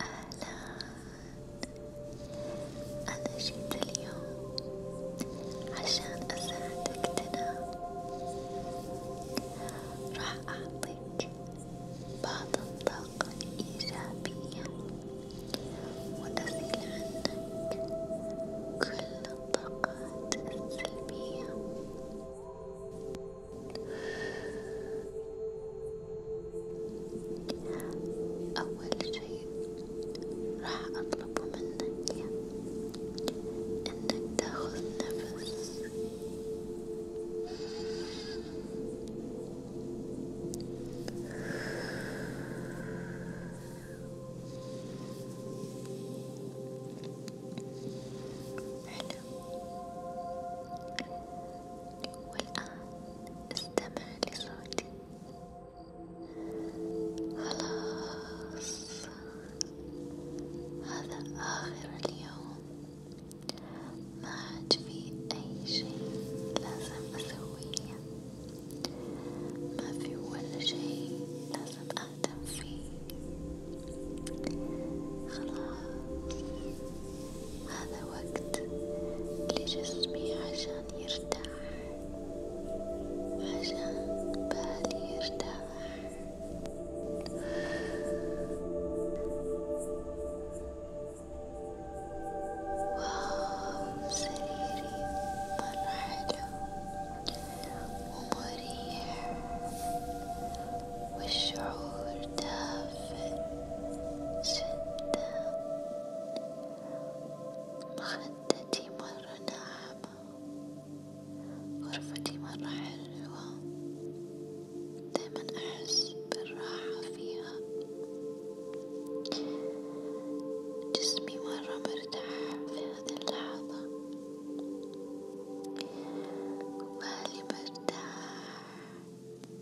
أهلا أنا جيت اليوم عشان أساعدك تنام راح أعطيك بعض الطاقة الإيجابية وأزيل عنك كل الطاقات السلبية أول شيء راح أطلب منك إنك تاخذ نفس حلو والآن استمع لصوتي خلاص هذا آخر اليوم ما عاد في أي شيء لازم أسويه ما في ولا شيء لازم تهتم فيه خلاص هذا وقت لجسمي عشان يرتاح عشان بالي يرتاح واو سريري مرة حلو ومريح والشعور دافئ جدا مخدتي مرة ناعمة غرفتي مرة حلوة دايما أحس بالراحة فيها جسمي مرة مرتاح في هذه اللحظة بالي برتاح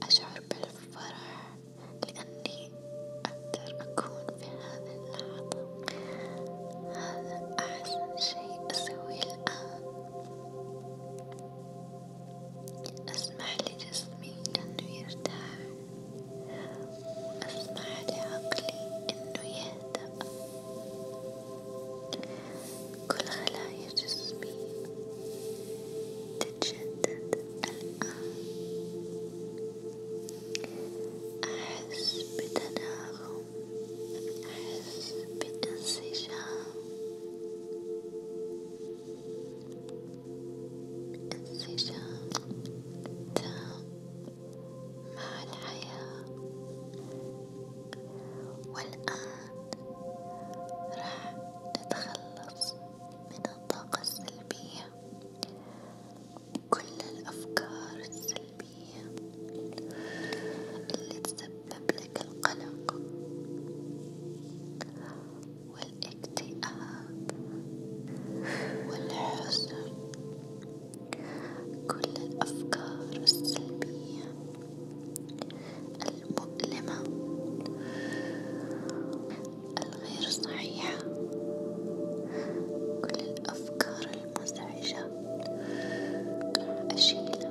أشعر بالفرح لأني أقدر أكون في هذه اللحظة هذا أحسن شيء أسويه الآن أسمح لجسمي أنه يرتاح وأسمح لعقلي أنه يهدأ يهدأ كل خلايا جسمي تتجدد الآن أحس بتناغم أحس بانسجام انسجام تام مع الحياة والآن راح نتخلص من الطاقة السلبية كل الأفكار السلبية اللي تسبب لك القلق والاكتئاب والحزن كل الأفكار السلبية المؤلمة الغير صحيحة كل الأفكار المزعجة أشيلها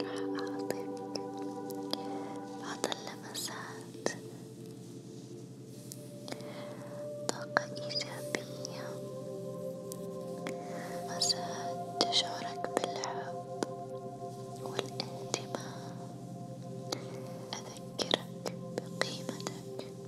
راح أعطيك بعض اللمسات طاقة إيجابية مسات تشعرك بالحب والإنتماء أذكرك بقيمتك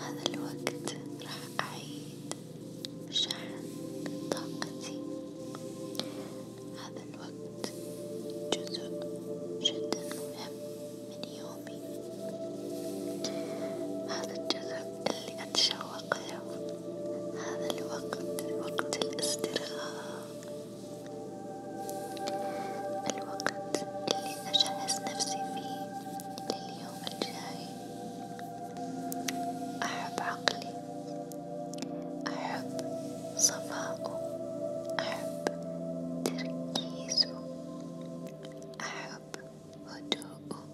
هذا الوقت راح أعيد شحن طاقتي، هذا الوقت جزء جدا مهم من يومي، هذا الجزء اللي أتشوق له، هذا الوقت وقت الاسترخاء. الوقت اللي أجهز نفسي فيه لليوم الجاي أحب عقلي أحب صفاؤه أحب تركيزه أحب هدوءه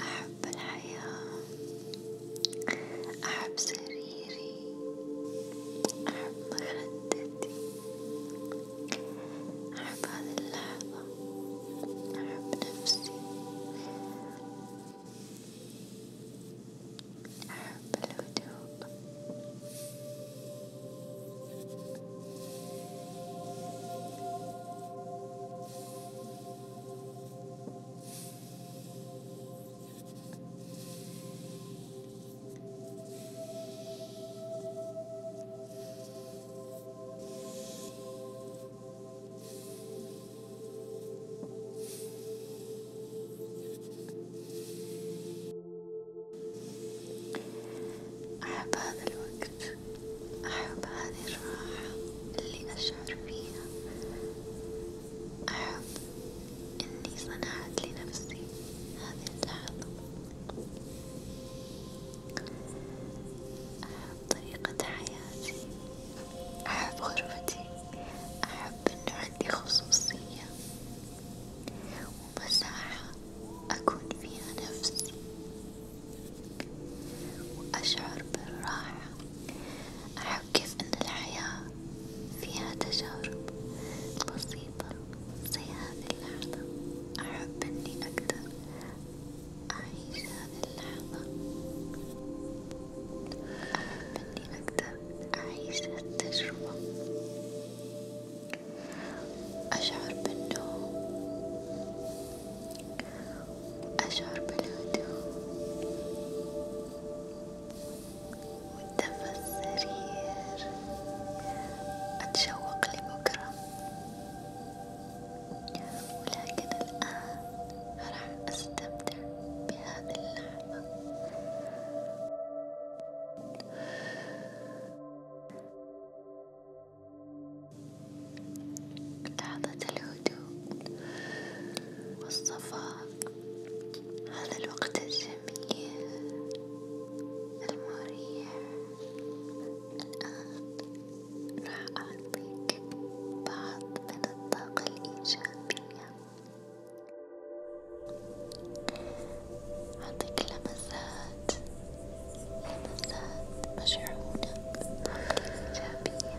أحب الحياة أحب سريري أحب مخدتي أحب هذه اللحظة أحب نفسي أحب الهدوء أحب هذا الوقت، أحب هذه الراحة اللي أشعر فيها أحب إني صنعت لنفسي هذه اللحظة، أحب طريقة حياتي، أحب غرفتي، أحب إنه عندي خصوصية ومساحة أكون فيها نفسي. وأشعر بالراحة، أحب أحب كيف أن الحياة فيها تجارب بسيطة زي هذه اللحظة، أحب إني أقدر أعيش هذه اللحظة، أحب إني أقدر أعيش التجربة، أشعر بالنوم، أشعر بالهدوء. والدم السرير أتشوق لبكرة ولكن الآن راح أستمتع بهذه اللحظة لحظة الهدوء والصفاء هذا الوقت الجميل المريح الآن راح أعطيك بعض من الطاقة الإيجابية أعطيك لمسات لمسات مشحونة بالطاقة الإيجابية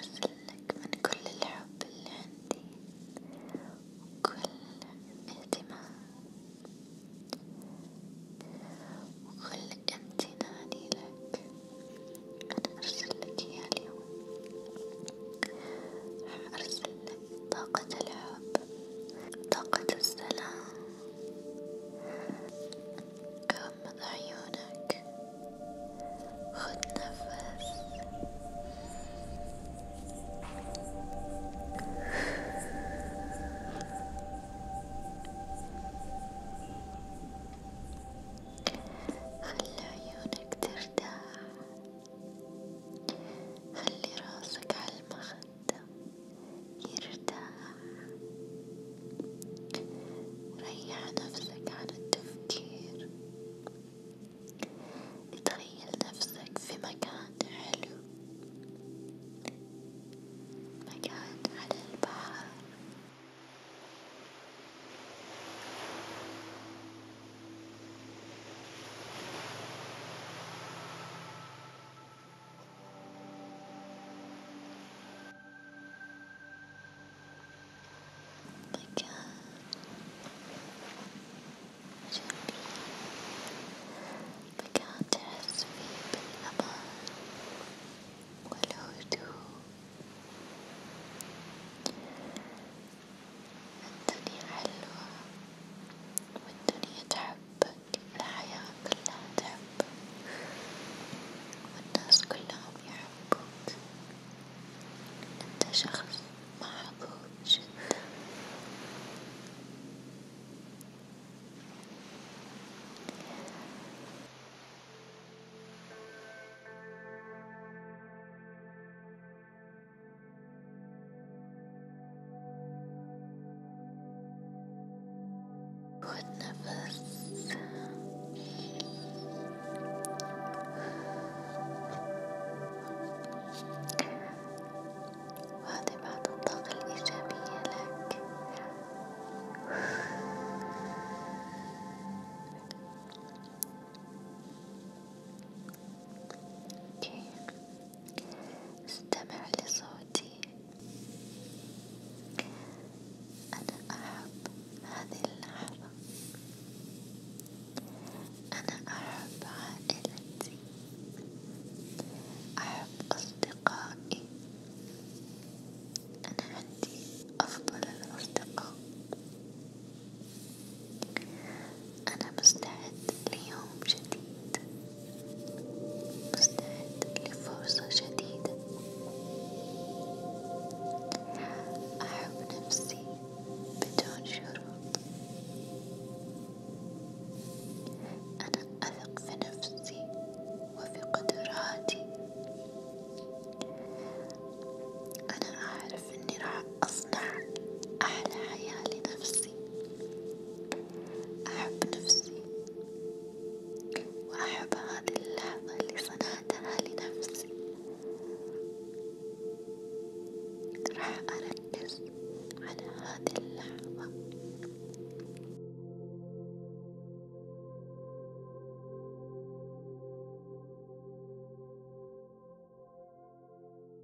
أرسلك من كل الحب اللي عندي وكل اهتمام وكل امتناني لك أنا أرسلك إياه اليوم راح أرسلك طاقة الحب طاقة السلام غمض عيونك خد نفس خلي عيونك ترتاح خلي راسك على المخ الدم يرتاح، ريح نفسك عن التفكير، تخيل نفسك في مكان حلو، مكان على البحر. مكان جميل مكان تحس فيه بالأمان والهدوء الدنيا حلوة والدنيا تحبك الحياة كلها تحبك والناس كلهم يحبوك أنت شخص محبوب جدا والنفس وهذه بعض الطاقة الإيجابية لك اوكي استمع لصوتي أنا أحب هذه اللحظة، أنا أحب عائلتي، أحب أصدقائي، أنا عندي أفضل الأصدقاء، أنا مستعد ليوم جديد. مستعد لفرصة جديدة، أحب نفسي بدون شروط، أنا أثق في نفسي وفي قدراتي، أنا أعرف إني راح أصنع أحلى حياة لنفسي. أحب نفسي وأحب هذه اللحظة اللي صنعتها لنفسي راح أركز على هذه اللحظة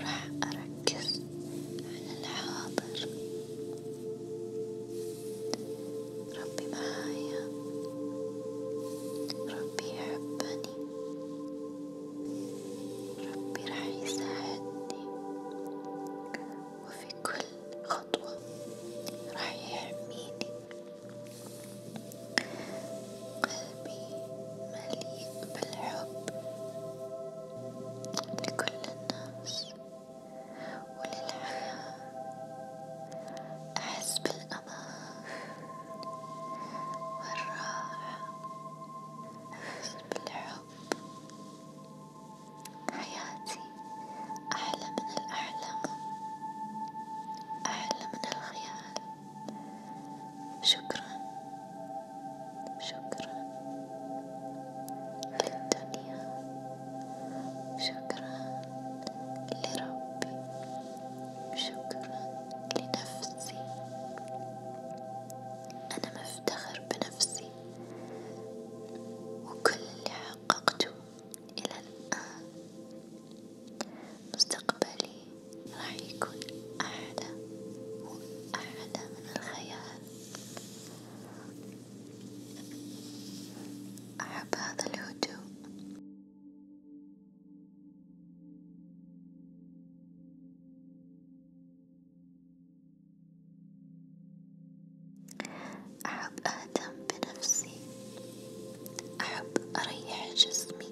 راح أركز على الحاضر ربي معايا ربي يحبني ربي راح يساعدني وفي كل خطوة خطوة راح يحميني قلبي مليء بالحب لكل الناس وللحياة أحس بالأمان والراحة أحس بالحب حياتي أحلى من الأحلام أحلى من الخيال شكرا شكرا للدنيا شكرا لربي شكرا لنفسي أنا مفتخر بنفسي نفسي وكل اللي حققته إلى الآن مستقبلي راح يكون أعلى وأعلى من الخيال أحب هذا الهدوء أحب أهتم بنفسي، أحب أريح جسمي،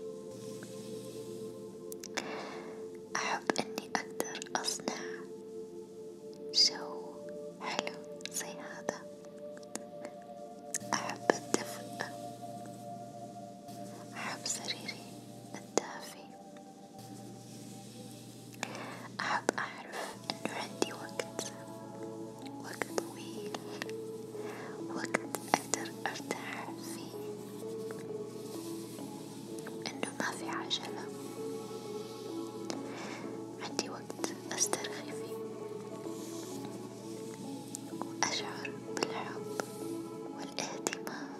أحب إني أقدر أصنع جو حلو زي هذا، أحب الدفء، أحب سريري الدافي. أحب أعرف إنه عندي وقت وقت طويل وقت أقدر أرتاح فيه إنه ما في عجلة عندي وقت أسترخي فيه وأشعر بالحب والاهتمام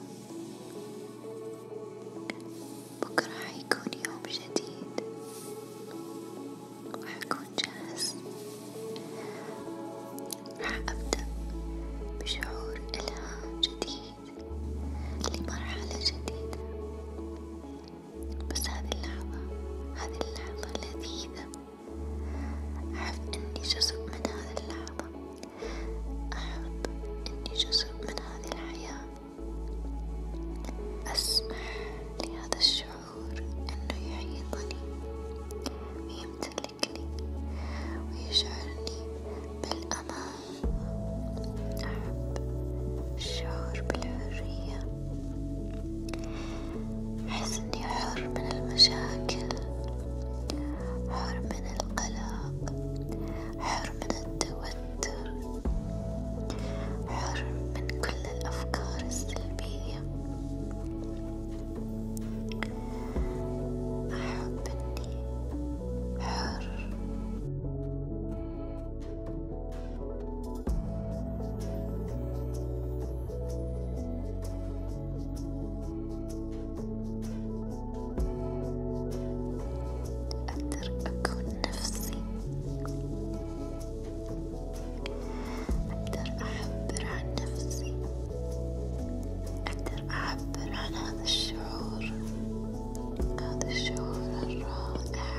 بكرة حيكون يوم جديد وحكون جاهز راح أبدأ بشعور إلهام جديد لمرحلة جديدة بس هذه اللحظة هذه اللحظة لذيذة أعرف إني جزء من هذه اللحظة أحب إني جزء من هذه الحياة أسمح لهذا الشعور أنه يحيطني ويمتلكني ويشعرني بالأمان، أحب الشعور بالحرية، أحس إني حر من المشاكل، حر من القلق، حر من التوتر. تويتر حر من كل الأفكار السلبية أحب إني حر أقدر أكون نفسي أقدر أعبر عن نفسي أقدر أعبر عن هذا الشعور هذا الشعور الرائع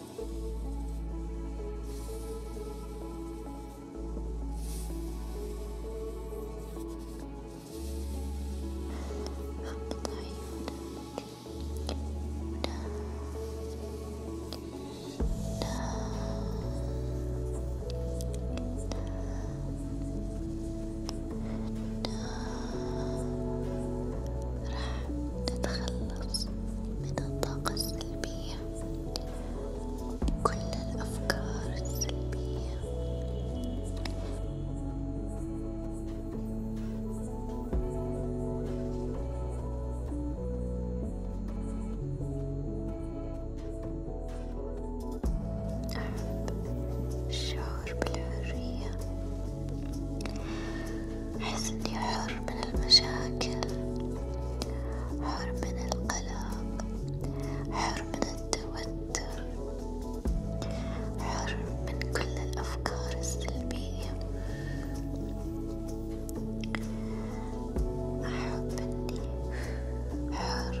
راح نتخلص من الطاقة السلبية السلبية كل الأفكار السلبية أحب الشعور بالحرية أحس إني حر من المشاكل، حر من القلق، حر من التوتر، حر من كل الأفكار السلبية، أحب إني حر.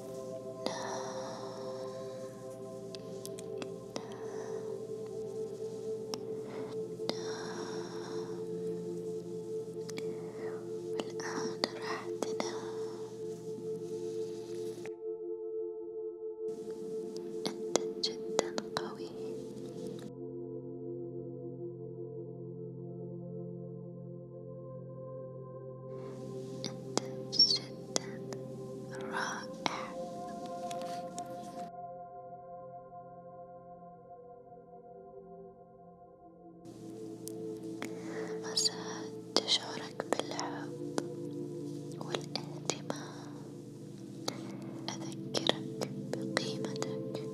والآن راح تنام أنت جدا قوي أنت جدا رائع مساعد تشعرك بالحب والاهتمام أذكرك بقيمتك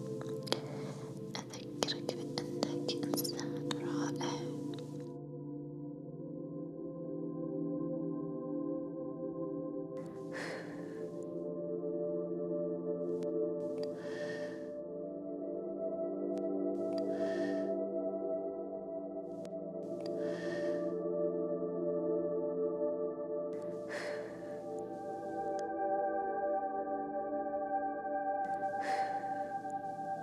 أذكرك بأنك إنسان رائع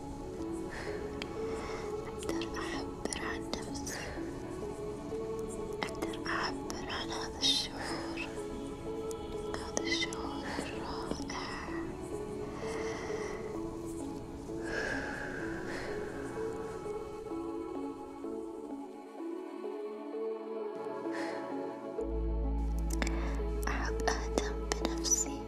أقدر أعبر عن نفسي، أقدر أعبر عن هذا الشعور، هذا الشعور الرائع، أحب أهتم بنفسي.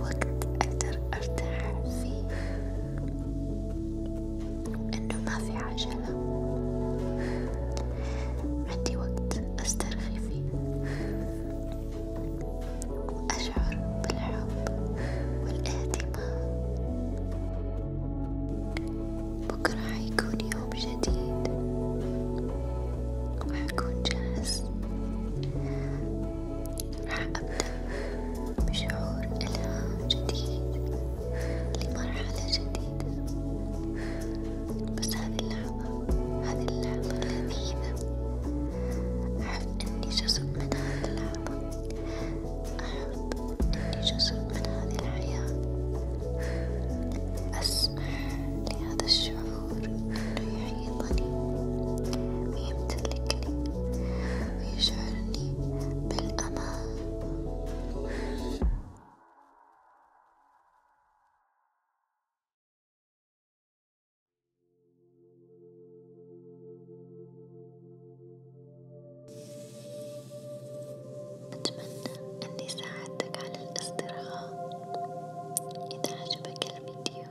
وقت أقدر أرتاح فيه إنه ما في عجلة، عندي وقت أسترخي فيه وأشعر بالحب والاهتمام، بكرة حيكون يوم جديد وحكون جاهز راح أبدأ بشعور إلهام جديد لمرحلة جديدة، بس هذه اللحظة هذه اللحظة لذيذة، أحب إني جزء من هذه اللحظة، أحب إني جزء من هذه الحياة، أسمح لهذا الشعور. النور ليحيطني ويمتلكني ويشعرني بالأمان أتمنى أني ساعدتك على الاسترخاء، إذا عجبك الفيديو